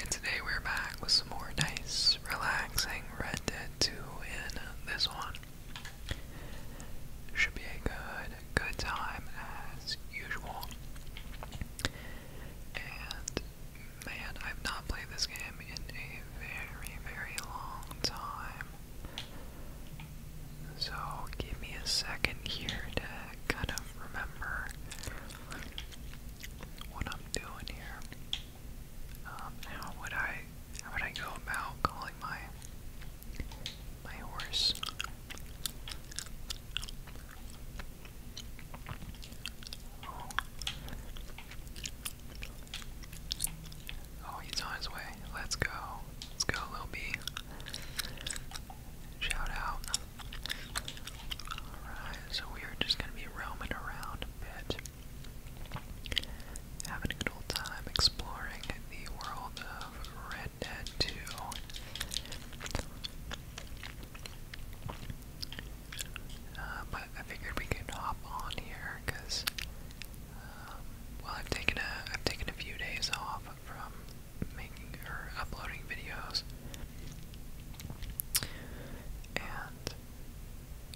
And today we're back with some more nice, relaxing Red Dead 2 in this one. Should be a good, good time as usual. And man, I've not played this game in a very, very long time. So give me a second here to kind of remember what I'm doing here. Um, how would I how would I go about calling my my horse? Oh. he's on his way. Let's go. Let's go, little bee. Shout out. Alright, so we are just gonna be roaming around a bit. Having a good old time exploring the world of Red Dead 2. Uh, but I figured we could hop on here because, um, well, I've taken a I've taken a few days off from making or uploading videos, and,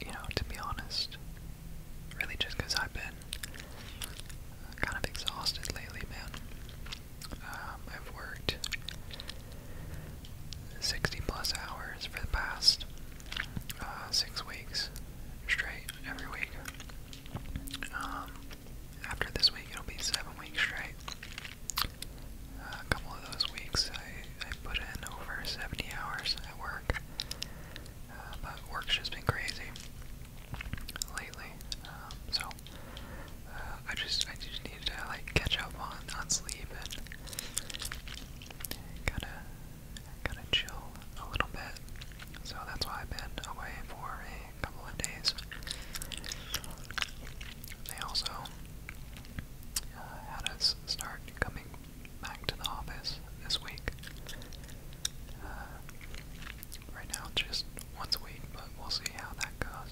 you know, to be honest, really just because I've been kind of exhausted lately, man. Um, I've worked 60 plus hours for the past uh, six weeks straight every week. Um, after this week, it'll be seven weeks straight a couple of those weeks I, put in over 70 hours at work. Uh, but work's just been crazy lately. Um, so uh, I just I just need to like catch up on, on sleep and kinda kinda chill a little bit. So that's why I've been away for a couple of days. They also uh, had us start coming back to the office this week. Uh, right now, just once a week, but we'll see how that goes.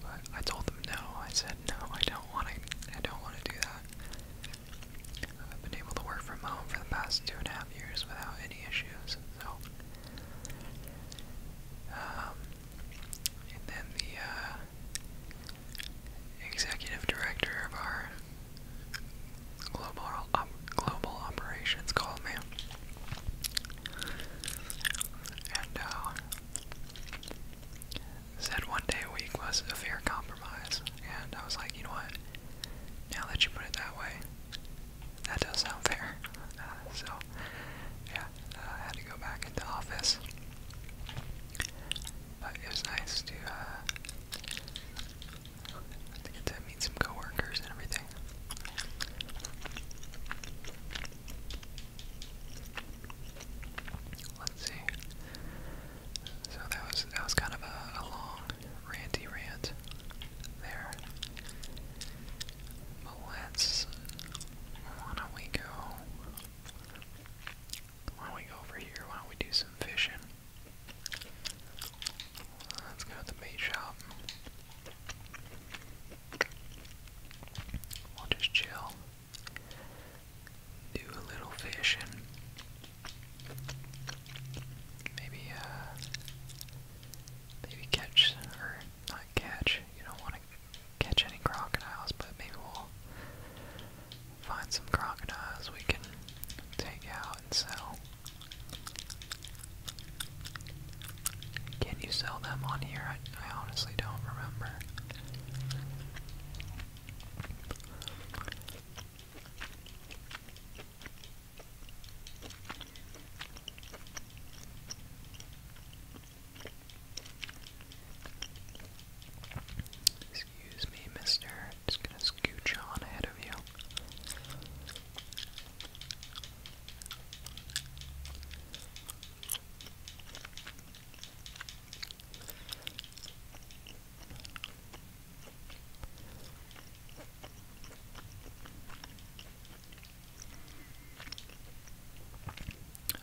But I told them no. I said no. I don't want to. I don't want to do that. I've been able to work from home for the past two and a half years without any issues, so um, and then the uh, executive director of our global global operations called me, and uh, said one day a week was a fair compromise. And I was like, you know what? Now that you put it that way, that does sound fair. Uh, so, yeah, uh, had to go back into office. But it was nice to, uh, get to meet some coworkers and everything. Let's see. So that was that was kind of a long ranty rant there let's. Why don't we go? Why don't we go over here? Why don't we do some fishing? Let's go to the bait shop. We'll just chill. Do a little fishing. Maybe, uh, maybe catch or not catch. You don't want to catch any crocodiles, but maybe we'll find some crocodiles we can take out and sell. Can you sell them on here? I, I honestly don't remember. Excuse me, mister. Just gonna scooch on ahead of you.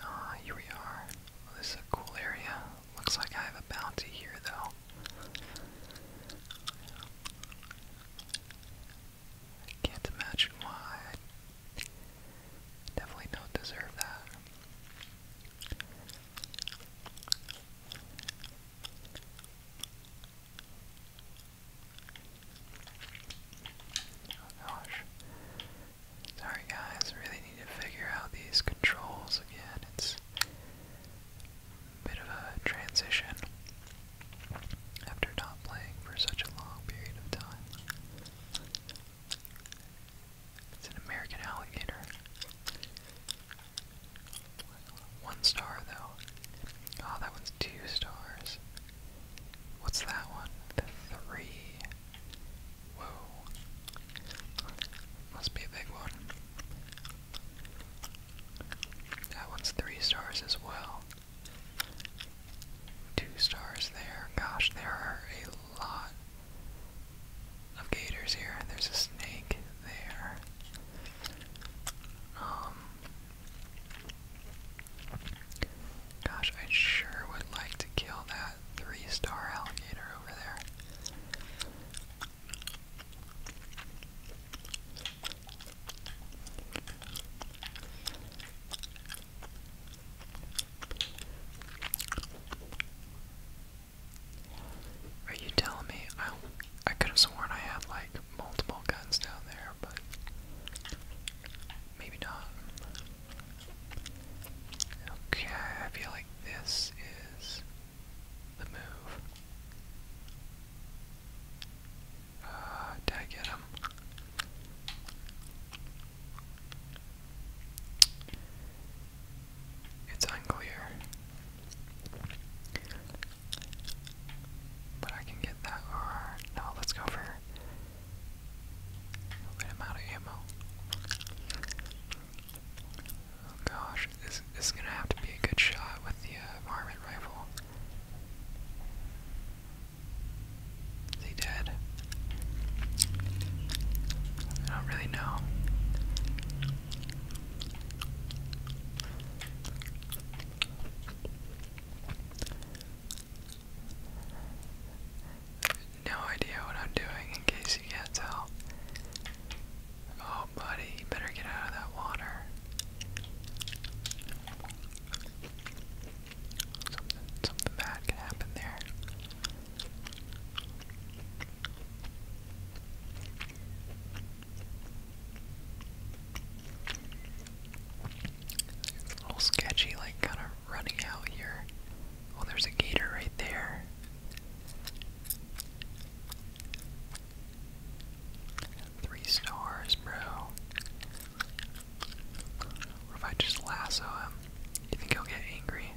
Ah, here we are. this is a cool area. Looks like I have a bounty here, though. I can't imagine why. definitely don't deserve that. Oh gosh. Sorry guys, really need to figure out these controls again. It's bit of a transition after not playing for such a long period of time. It's an American alligator. One star though. Oh, that one's two stars. What's that one? The three. Whoa. Must be a big one. That one's three stars as well. Two stars there. Gosh, there are a lot of gators here. There's a snake there. Um, Gosh, I sure would like to kill that three star alligator over there. Are you telling me I I could have sworn I had like multiple guns down there, but maybe not. Okay, I feel like this is the move. Uh, did I get him? It's unclear. But I can get that. Or, no, let's go for and I'm of ammo. Oh gosh, this, is gonna have to be a good shot with the uh, rifle. Is dead? I don't really know. No idea what I'm doing, in case you can't tell. Oh, buddy, better get out of that water. Something, something bad can happen there. It's a little sketchy, like kind of running out here. Oh, there's a gator right there. Three stars, bro. What if I just lasso him? You think he'll get angry?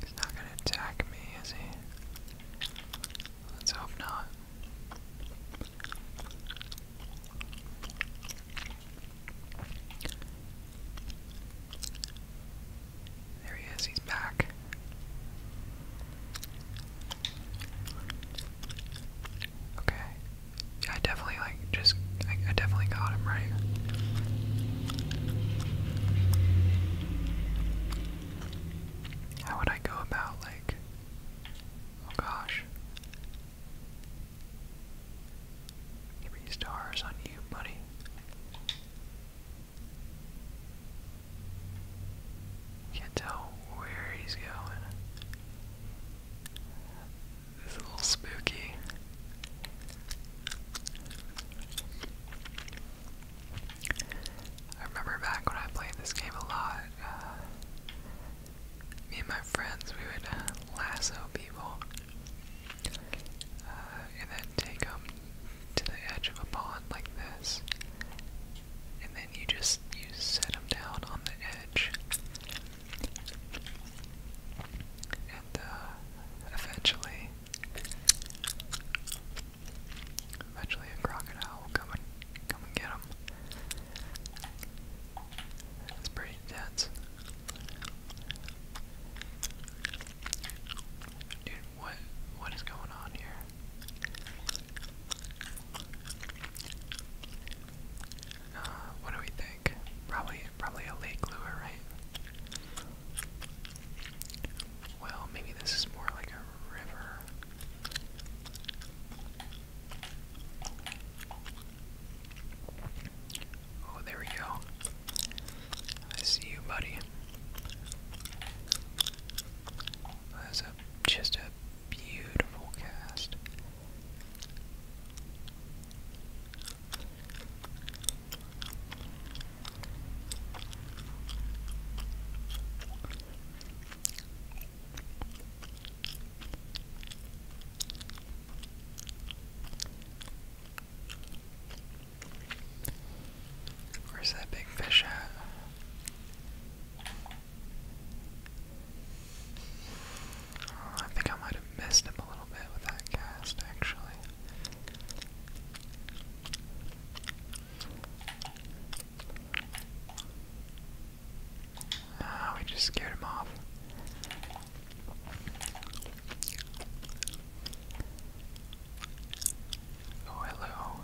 He's not gonna attack me, is he? Let's hope not. There he is, he's back. Okay. I definitely like just I, definitely got him right. How would I go about like Oh gosh. Three stars on you, buddy. Can't tell where he's going. This is a little spooky. I remember back when I played this game a lot, uh, me and my friends, we would uh, lasso people uh, and then take them to the edge of a pond like this. And then you just you set them down on the edge, and eventually Eventually a crocodile will come and come and get him. It's pretty dense. Dude, what what is going on here? Uh, what do we think? Probably probably a lake lure, right? Well, maybe this is more like Oh, there we go. I see you, buddy. That's a, just a beautiful cast. Where's that big fish at? Oh, I think I might have missed him a little bit with that cast, actually. Ah, we just scared him off. Oh, hello.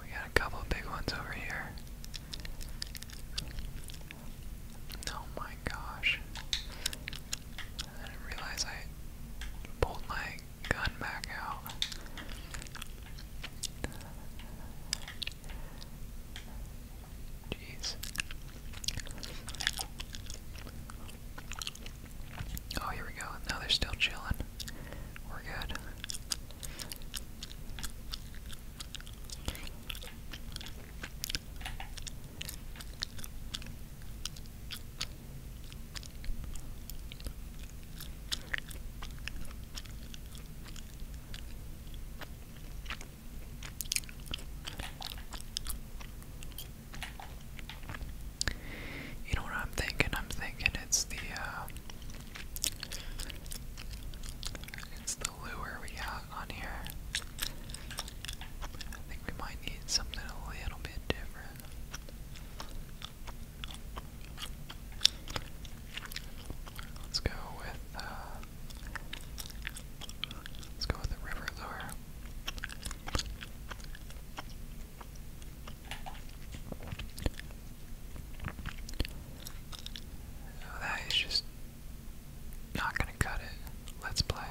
We got a couple big ones over here. Oh my gosh. I didn't realize I pulled my gun back out. Jeez. Oh, here we go. Now they're still chilling. We're good. You know what I'm thinking? I'm thinking it's the uh, it's the lure we have on here. I think we might need something a little bit different. Let's go with uh, let's go with the river lure. Oh, that is just not gonna cut it. Let's play.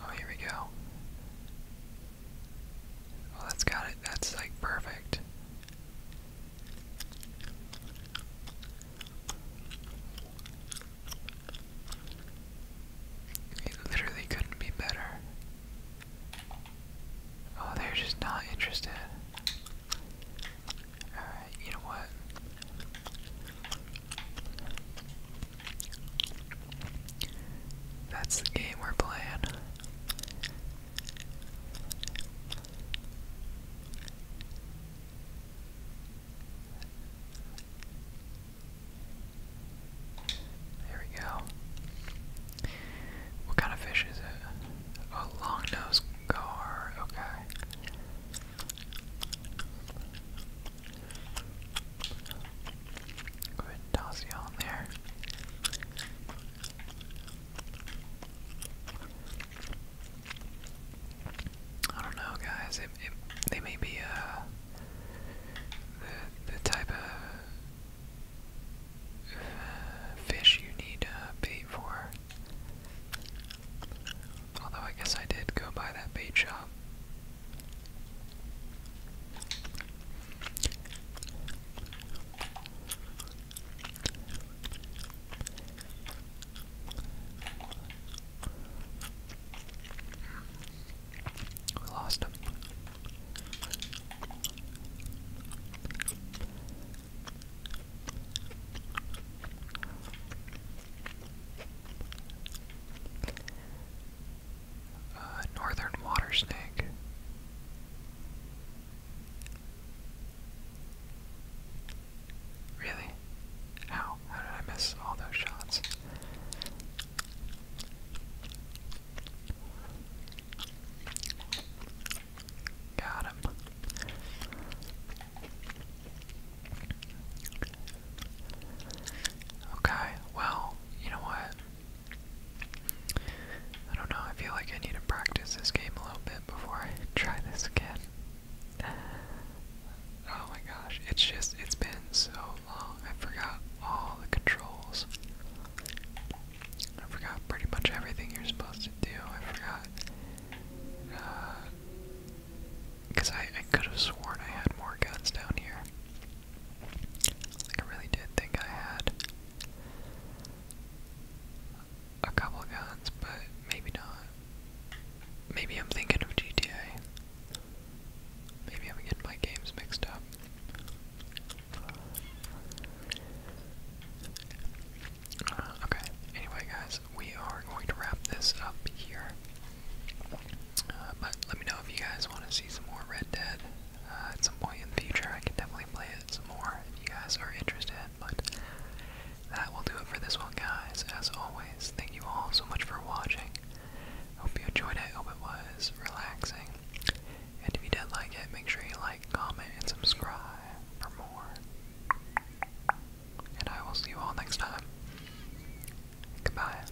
Oh, here we go. Well, that's got it. That's like perfect. It literally couldn't be better. Oh, they're just not interested. Alright, you know what? That's the game we're playing. There we go. What kind of fish is it? A long gar. Okay. Go ahead toss you on there. I don't know, guys. It, it, they may be a uh, the the type of uh, fish you need to uh, bait for. Although I guess I did go buy that bait shop. We lost him uh, northern water snake. Really? How? How did I miss all those shots? Got him. Okay, well, you know what? I don't know, I feel like I need to practice this game a little bit before I try this again. Oh my gosh, it's just, it's been so long. I forgot all the controls. I forgot pretty much everything you're supposed to do. I forgot. Because uh, I, I could have sworn I had more guns down here. Like, I really did think I had a couple guns, but maybe not. Maybe I'm thinking of GTA. Maybe I'm getting my games mixed up. Uh, okay, anyway, guys, we are going to wrap this up here. Uh, but let me know if you guys want to see some more Red Dead. Uh, at some point in the future, I can definitely play it some more if you guys are interested. But that will do it for this one, guys. As always, thank you all so much for watching. Hope you enjoyed it. Hope it was relaxing. And if you did like it, make sure you like, comment, and subscribe for more. And I will see you all next time. Goodbye.